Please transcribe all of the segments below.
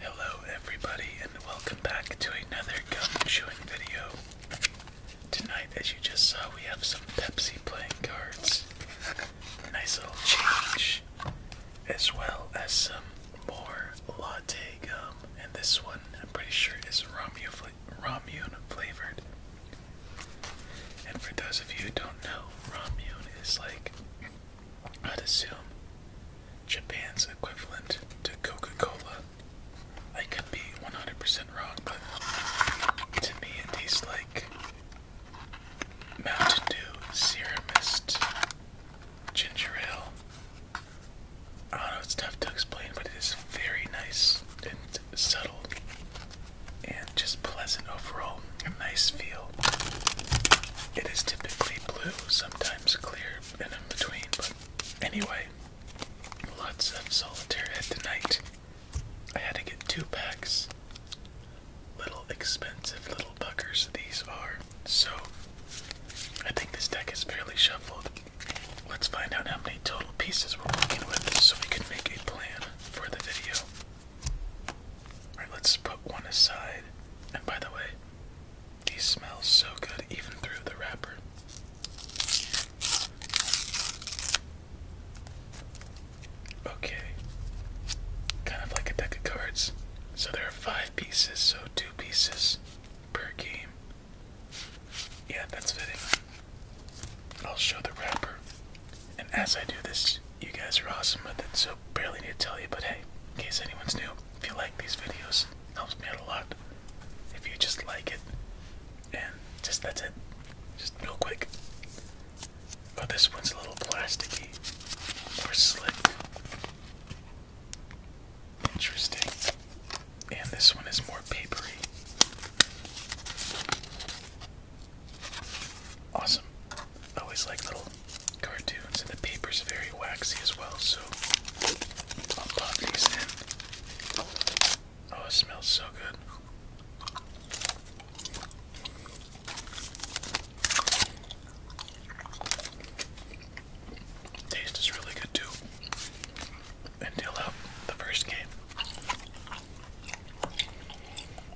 Hello, everybody, and welcome back to another gum chewing video. Tonight, as you just saw, we have some Pepsi playing cards. Nice little change, as well as some more latte gum. And this one, I'm pretty sure, is Romu fla flavored. And for those of you who don't know, Ramune is like I'd assume, Japan's equivalent to Coca Cola. I could be 100% wrong, to me it tastes like Mountain Dew, Serum Mist, Ginger Ale. I don't know, it's tough to explain, but it is very nice and subtle and just pleasant overall. A nice feel. It is typically blue, sometimes clear, and in between, but anyway, lots of solitaire at tonight. I had to get two packs. Little expensive little buckers these are. So, I think this deck is fairly shuffled. Let's find out how many total pieces we're working with so we can make a plan for the video. Alright, let's put one aside. And by the way, these smell so good even through the wrapper. Okay. Kind of like a deck of cards. So there are five pieces, so two pieces per game. Yeah, that's fitting. I'll show the wrapper. And as I do this, you guys are awesome But it, so barely need to tell you, but hey, in case anyone's new, if you like these videos, it helps me out a lot. If you just like it, and just that's it. Just real quick. Oh, this one's a little plasticky more slick. Interesting. And this one is more papery. Awesome. always like little cartoons, and the paper's very waxy as well, so I'll pop these in. Oh, it smells so good. Taste is really good too. Until up the first game.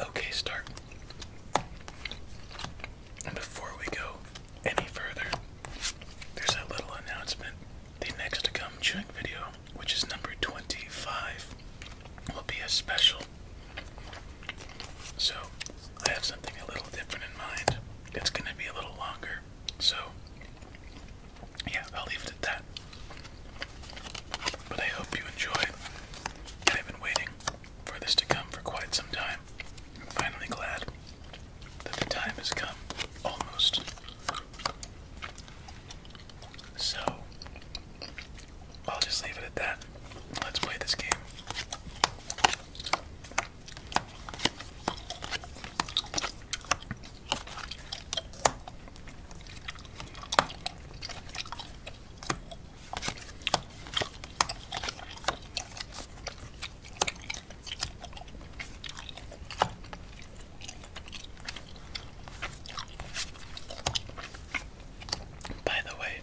Okay, start. And before we go any further, there's a little announcement. The next to come chewing video, which is number 25, will be a special. So I have something a little different in mind. It's going to be a little longer. So, yeah, I'll leave it at that. But I hope you enjoy. I've been waiting for this to come for quite some time. I'm finally glad that the time has come. Almost. So, I'll just leave it at that. Let's play this game. By the way,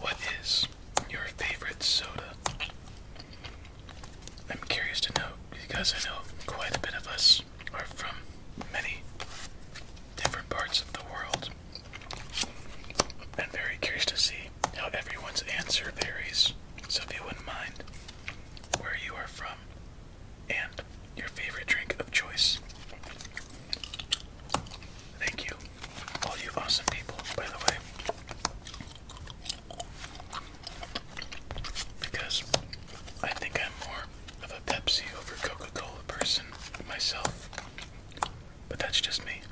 what is your favorite soda. I'm curious to know because I know quite a bit of us are from many different parts of the world. I'm very curious to see how everyone's answer varies. So if you wouldn't mind where you are from and your favorite drink of choice. Thank you, all you awesome people, by the way. Because I think I'm more of a Pepsi over Coca Cola person myself. But that's just me.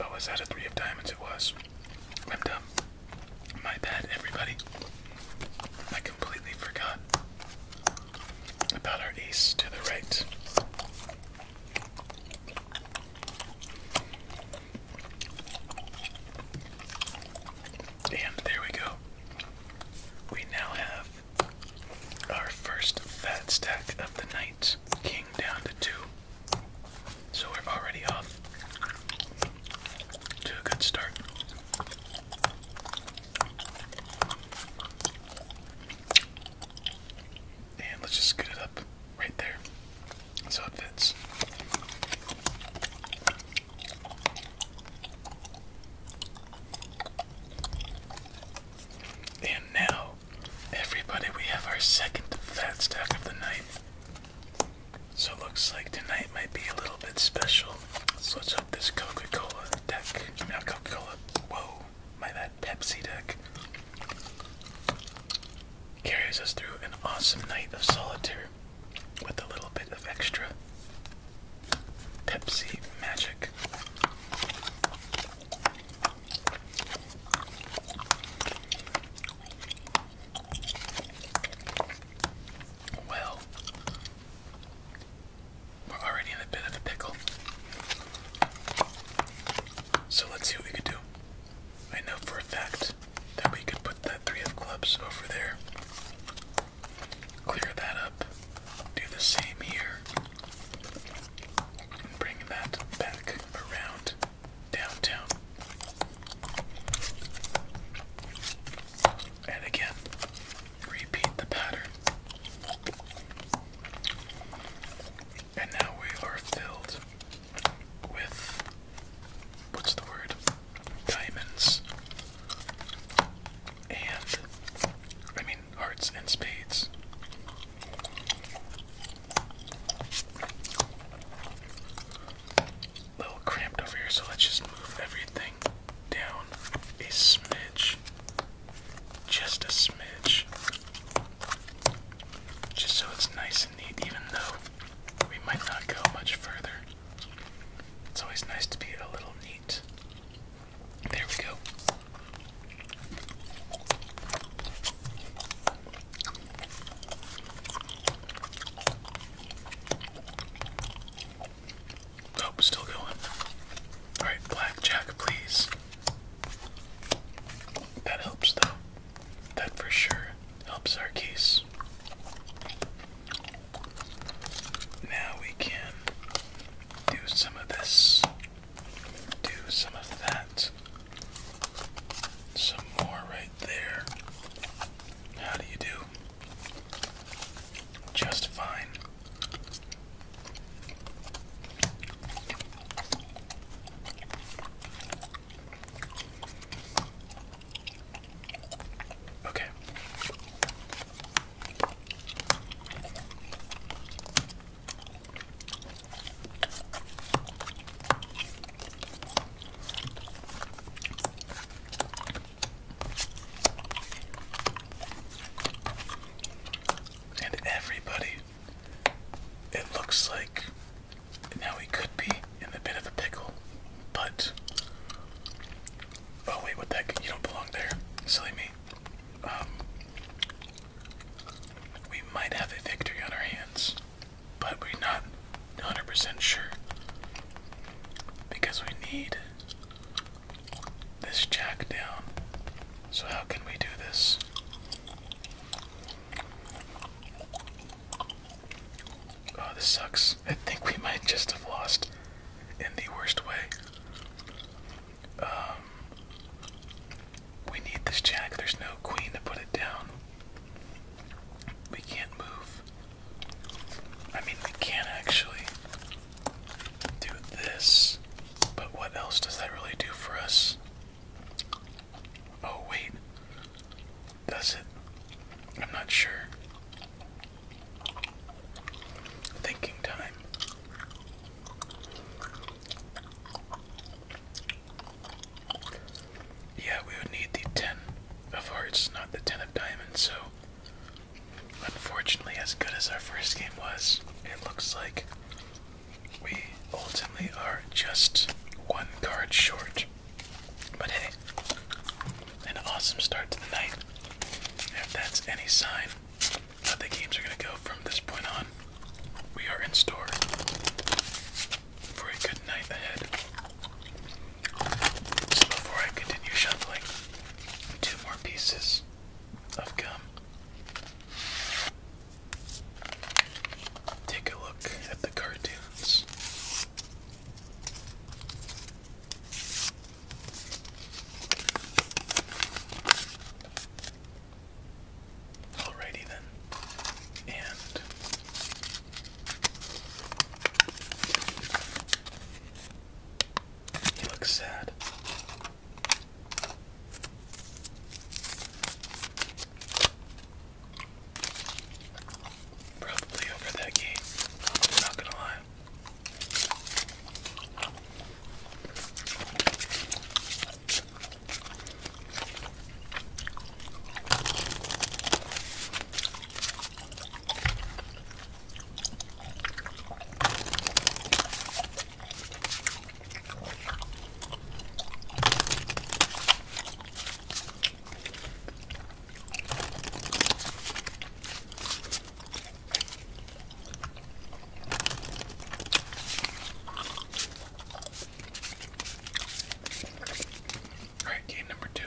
Oh, was that a three of diamonds? It was. I'm dumb. My bad, everybody. I completely forgot about our ace to the right. And there we go. We now have our first fat stack of the night. King down to two. So we're already off to a good start. And let's just scoot it up right there so it fits. And now, everybody, we have our second fat stack of the night. So it looks like tonight might be a little bit special let's hope this Coca-Cola deck, not Coca-Cola, whoa, my bad, Pepsi deck, carries us through an awesome night of solitaire with a little bit of extra Pepsi magic. Well, we're already in a bit of a pickle. So let's see what we could do. I know for a fact that we could put that three of clubs over there. Clear that up. Do the same here. bring that back around downtown. And again, Repeat the pattern. And now we are filled with what's the word? Diamonds. And I mean hearts and spades. A little cramped over here, so let's just move everything down a smidge, just a smidge, just so it's nice and neat, even though we might not go much further. It's always nice to be a little neat. There we go. Oh, still going. Alright, blackjack, please. That helps, though. That for sure helps our case. Now we can do some of this, do some of that, some more right there. How do you do? Just fine. Okay. And everybody, it looks like now we could be in a bit of a pickle, but. Oh, wait, what the You don't belong there. Silly me. Um, we might have a victory on our hands, but we're not 100% sure. Because we need this jack down. So, how can we do this? Oh, this sucks. I think we might just have lost in the worst way. Um, we need this jack. There's no queen to put it down. We can't move. I mean, we can actually do this, but what else does that really do for us? Oh, wait. Does it? I'm not sure. Thinking time. Yeah, we would need the 10 of hearts, not the 10 of diamonds, so Unfortunately, as good as our first game was, it looks like we ultimately are just one card short. But hey, an awesome start to the night. If that's any sign of the games are going to go from this point on, we are in store for a good night ahead. So before I continue shuffling, two more pieces of gum. Take a look at the cartoons. Alrighty then. And he looks sad. Probably over that gate. not gonna lie. All right, game number two.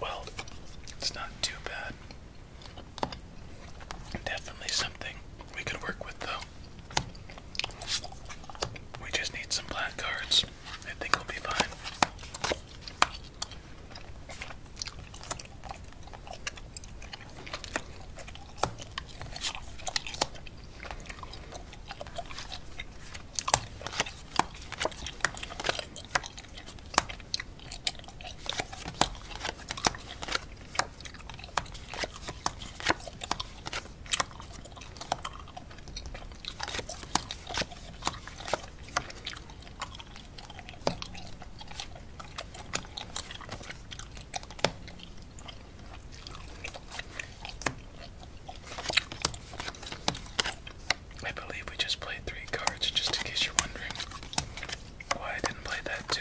Well, it's not too bad. Definitely something we could work with, though. We just need some black cards. I think we'll be fine. I believe we just played three cards, just in case you're wondering why I didn't play that too.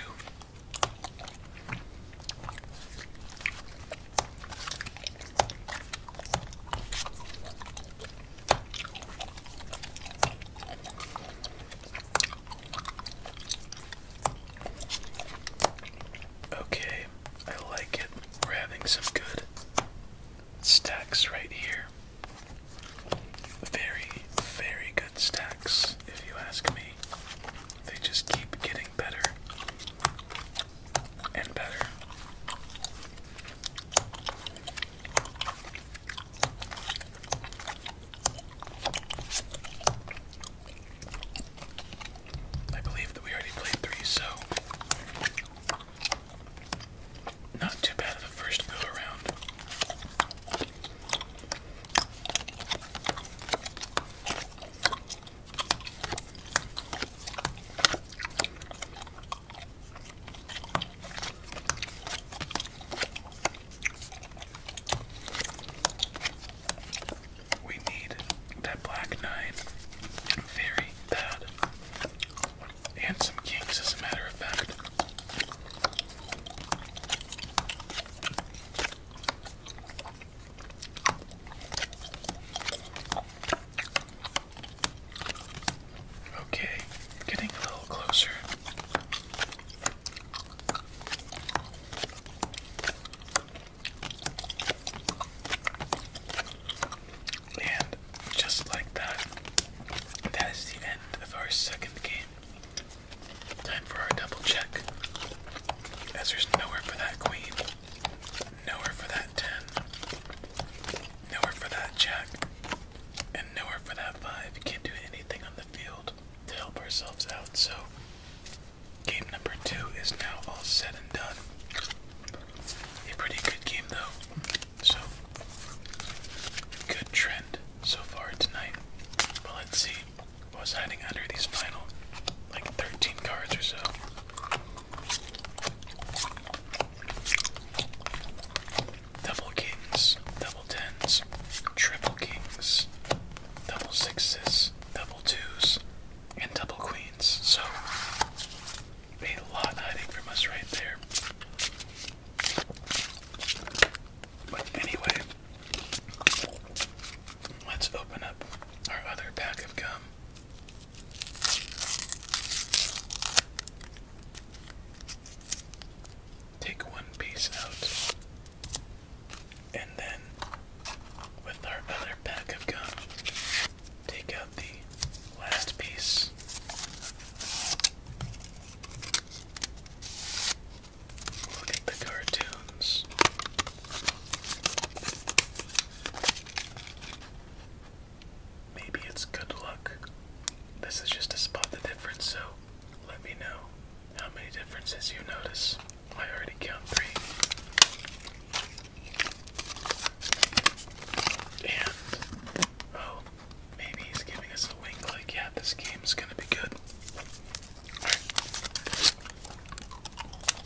Okay, I like it. We're having some good stacks right here. Very, very good stacks, if you ask me. They just keep getting better and better. I believe that we already played three, so not too bad of a first go around. We need that black nine very bad. And some kings, as a matter of fact. Okay, getting a little closer. And just like that, that is the end of our second game. Time for our double check, as there's nowhere for that queen. Nowhere for that 10. Nowhere for that jack. And nowhere for that 5. We can't do anything on the field to help ourselves out. So, game number 2 is now all said and done. A pretty good game, though. So, good trend so far tonight. But let's see what's hiding under these final like 13 cards or so. Double kings, double tens, triple kings, double sixes, double twos, and double queens. So, a lot hiding from us right there. But anyway, let's open up our other pack of gum. Take one piece out, and then with our other pack of gum, take out the last piece. Look at the cartoons. Maybe it's good luck. This is just to spot the difference, so let me know how many differences you notice. I already count three. And, oh, maybe he's giving us a wink like, yeah, this game's gonna be good.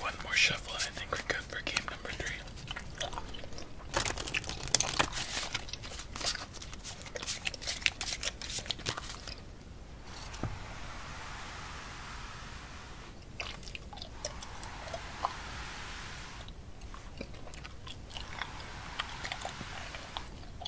One more shuffle, and I think we're good for game number three.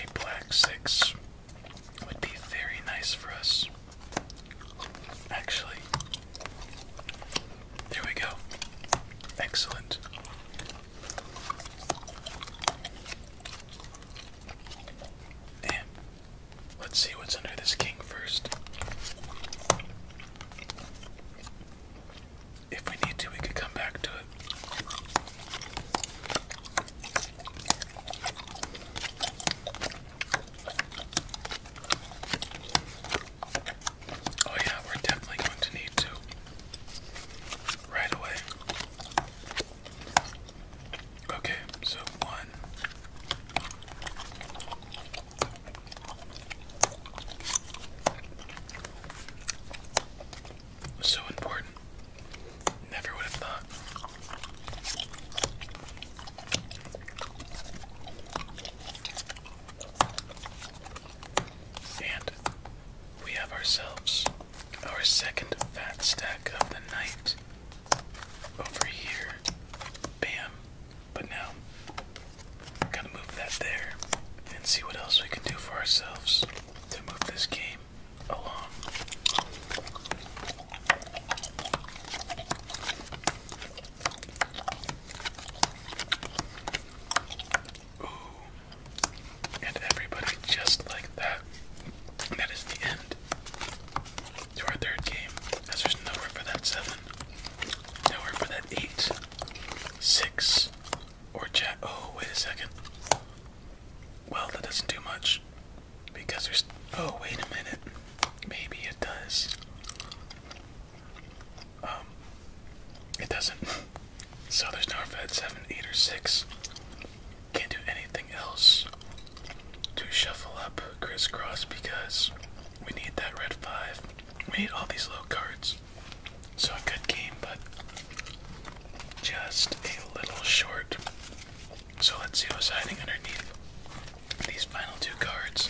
A black six would be very nice for us. Actually, there we go. Excellent. Damn. Let's see what's under this king first. If we need to, we could come back to it. Oh, yeah, we're definitely going to need to right away. Okay, so one. So important. Never would have thought. And we have ourselves our second fat stack of the night over here. Bam. But now, gotta move that there and see what else we can do for ourselves to move this game along. And everybody just like that. that is the end to our third game. As there's nowhere for that seven, nowhere for that eight, six, or jack. Oh, wait a second. Well, that doesn't do much because there's. Oh, wait a minute. Maybe it does. Um, it doesn't. So there's nowhere for that seven, eight, or six. Can't do anything else to shuffle up crisscross because we need that red five. We need all these low cards. So a good game, but just a little short. So let's see what's hiding underneath these final two cards.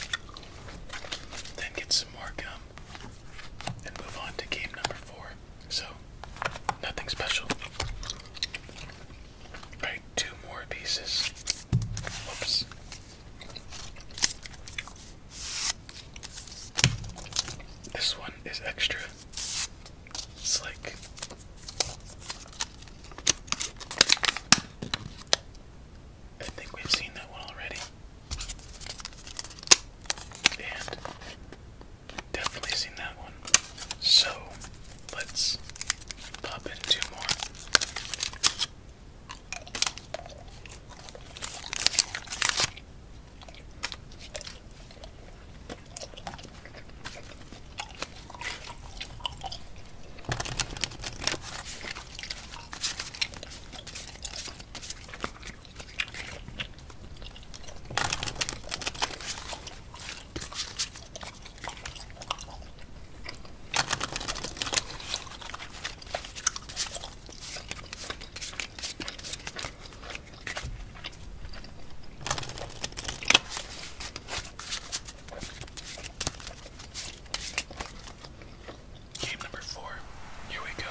Then get some more gum and move on to game number four. So, nothing special. Alright, two more pieces. Whoops. This one is extra. It's like. I think we've seen that one already. And Definitely seen that one. So let's pop in two more. Game number four. Here we go.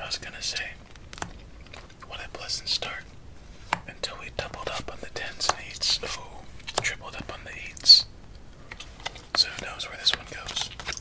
I was gonna say, what a pleasant start until we doubled up on the tens and eights. Oh, tripled up on the eights. So who knows where this one goes?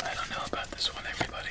I don't know about this one, everybody.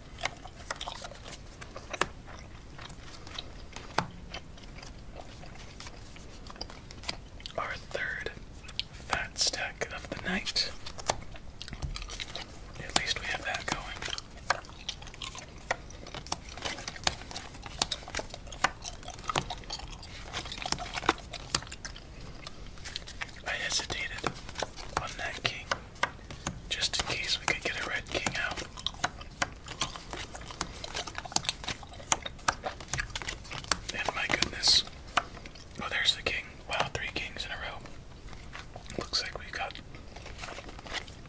Our third fat stack of the night. At least we have that going. I hesitated on that king. Just in case we could get a Red King out. And my goodness. Oh, there's the king. Wow, three kings in a row. Looks like we got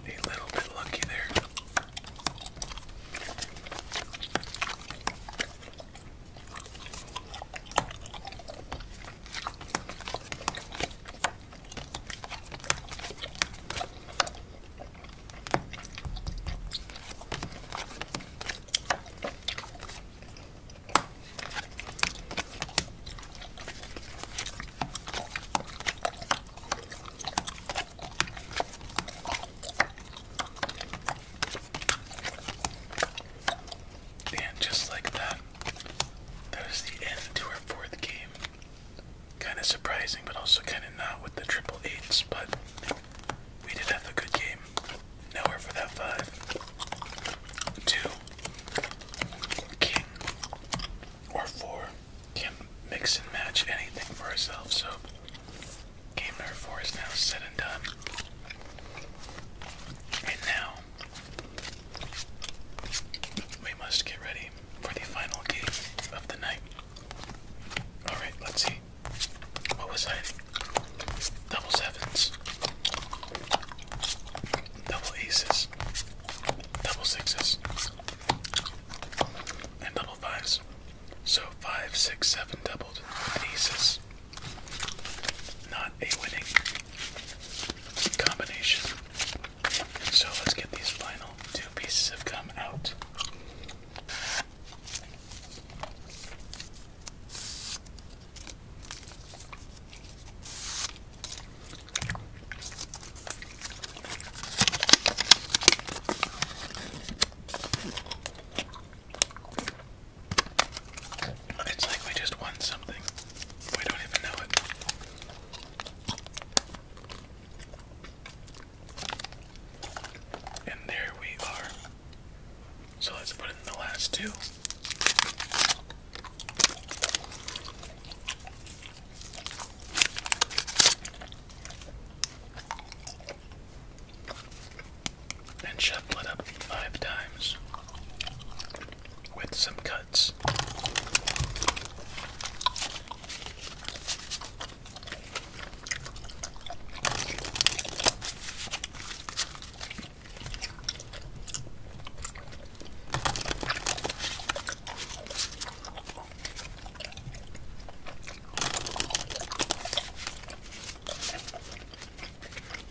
a little bit lucky there. And just like that, that was the end to our fourth game. Kind of surprising, but also kind of not with the triple eights, but we did have a good game. Now we're for that five. Two. King. Or four. Can mix and match anything for ourselves, so game number four is now said and done. And now we must get ready for the final game of the night. Alright, let's see. What was I? Double sevens. Double aces. Double sixes. And double fives. So five, six, seven doubled aces. Not a winning combination. So let's get these final two pieces have come out. It's like we just won something. We don't even know it. And there we are. So let's put in the last two. And shuffle it up five times with some cuts.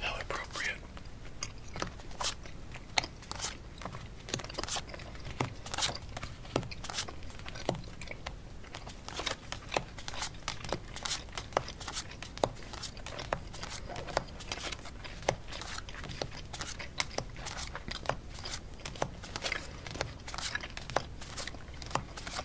How appropriate.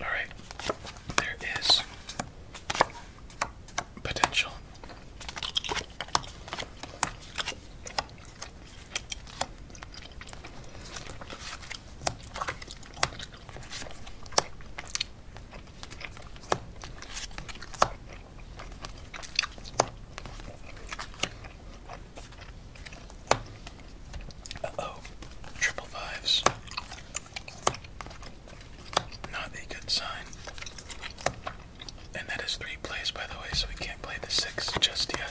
All right, there is potential. Uh oh, triple fives. Not a good sign. And that is three plays, by the way, so we can't play the six just yet.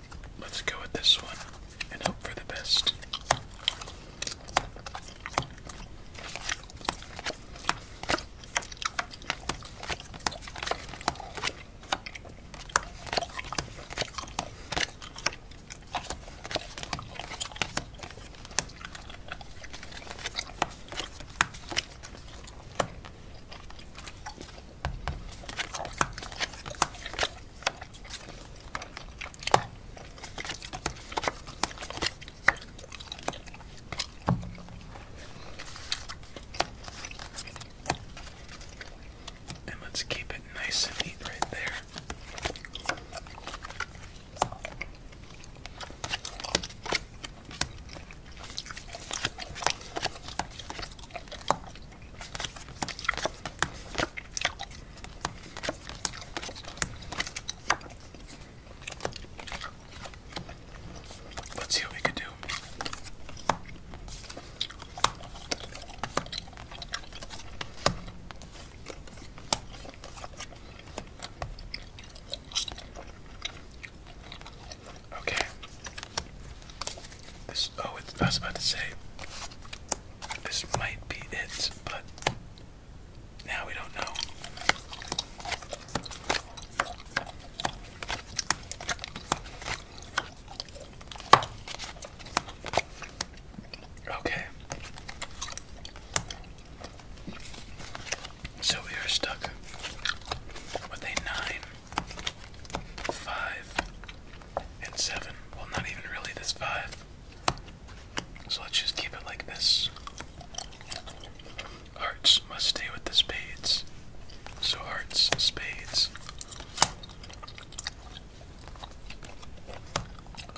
Let's go with this one and hope for the best. And let's keep it nice and neat right there. Let's see what we can do. Okay. This, oh, it's, I was about to say, this might be it, but now we don't know. Okay. So we are stuck with a nine five, and seven. Well, not even really this five. So let's just keep it like this. Hearts must stay with the spades. So hearts, spades.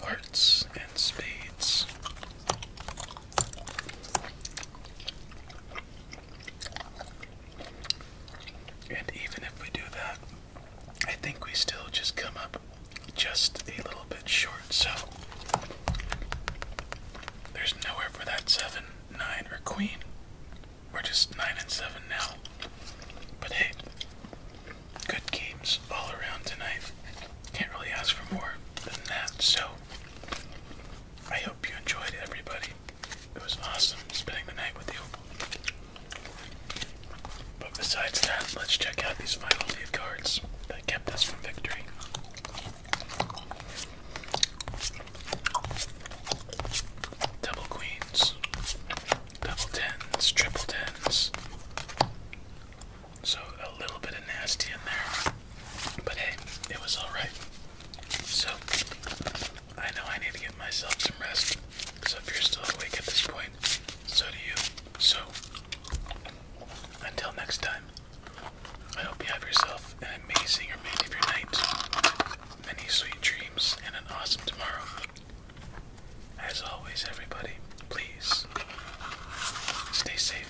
Hearts and spades. And even if we do that, I think we still just come up just a little bit short, so there's nowhere for that 7, 9, or queen. We're just 9 and 7 now. But hey, good games all around tonight. Can't really ask for more than that, so I hope you enjoyed everybody. It was awesome spending the night with you. But besides that, let's check out these final few cards that kept us from victory. Double queens, double tens, triple tens. So a little bit of nasty in there. But hey, it was alright. So I know I need to give myself some rest. So if you're still awake at this point, so do you. So, until next time, I hope you have yourself an amazing remainder of your night, many sweet dreams, and an awesome tomorrow. As always, everybody, please stay safe.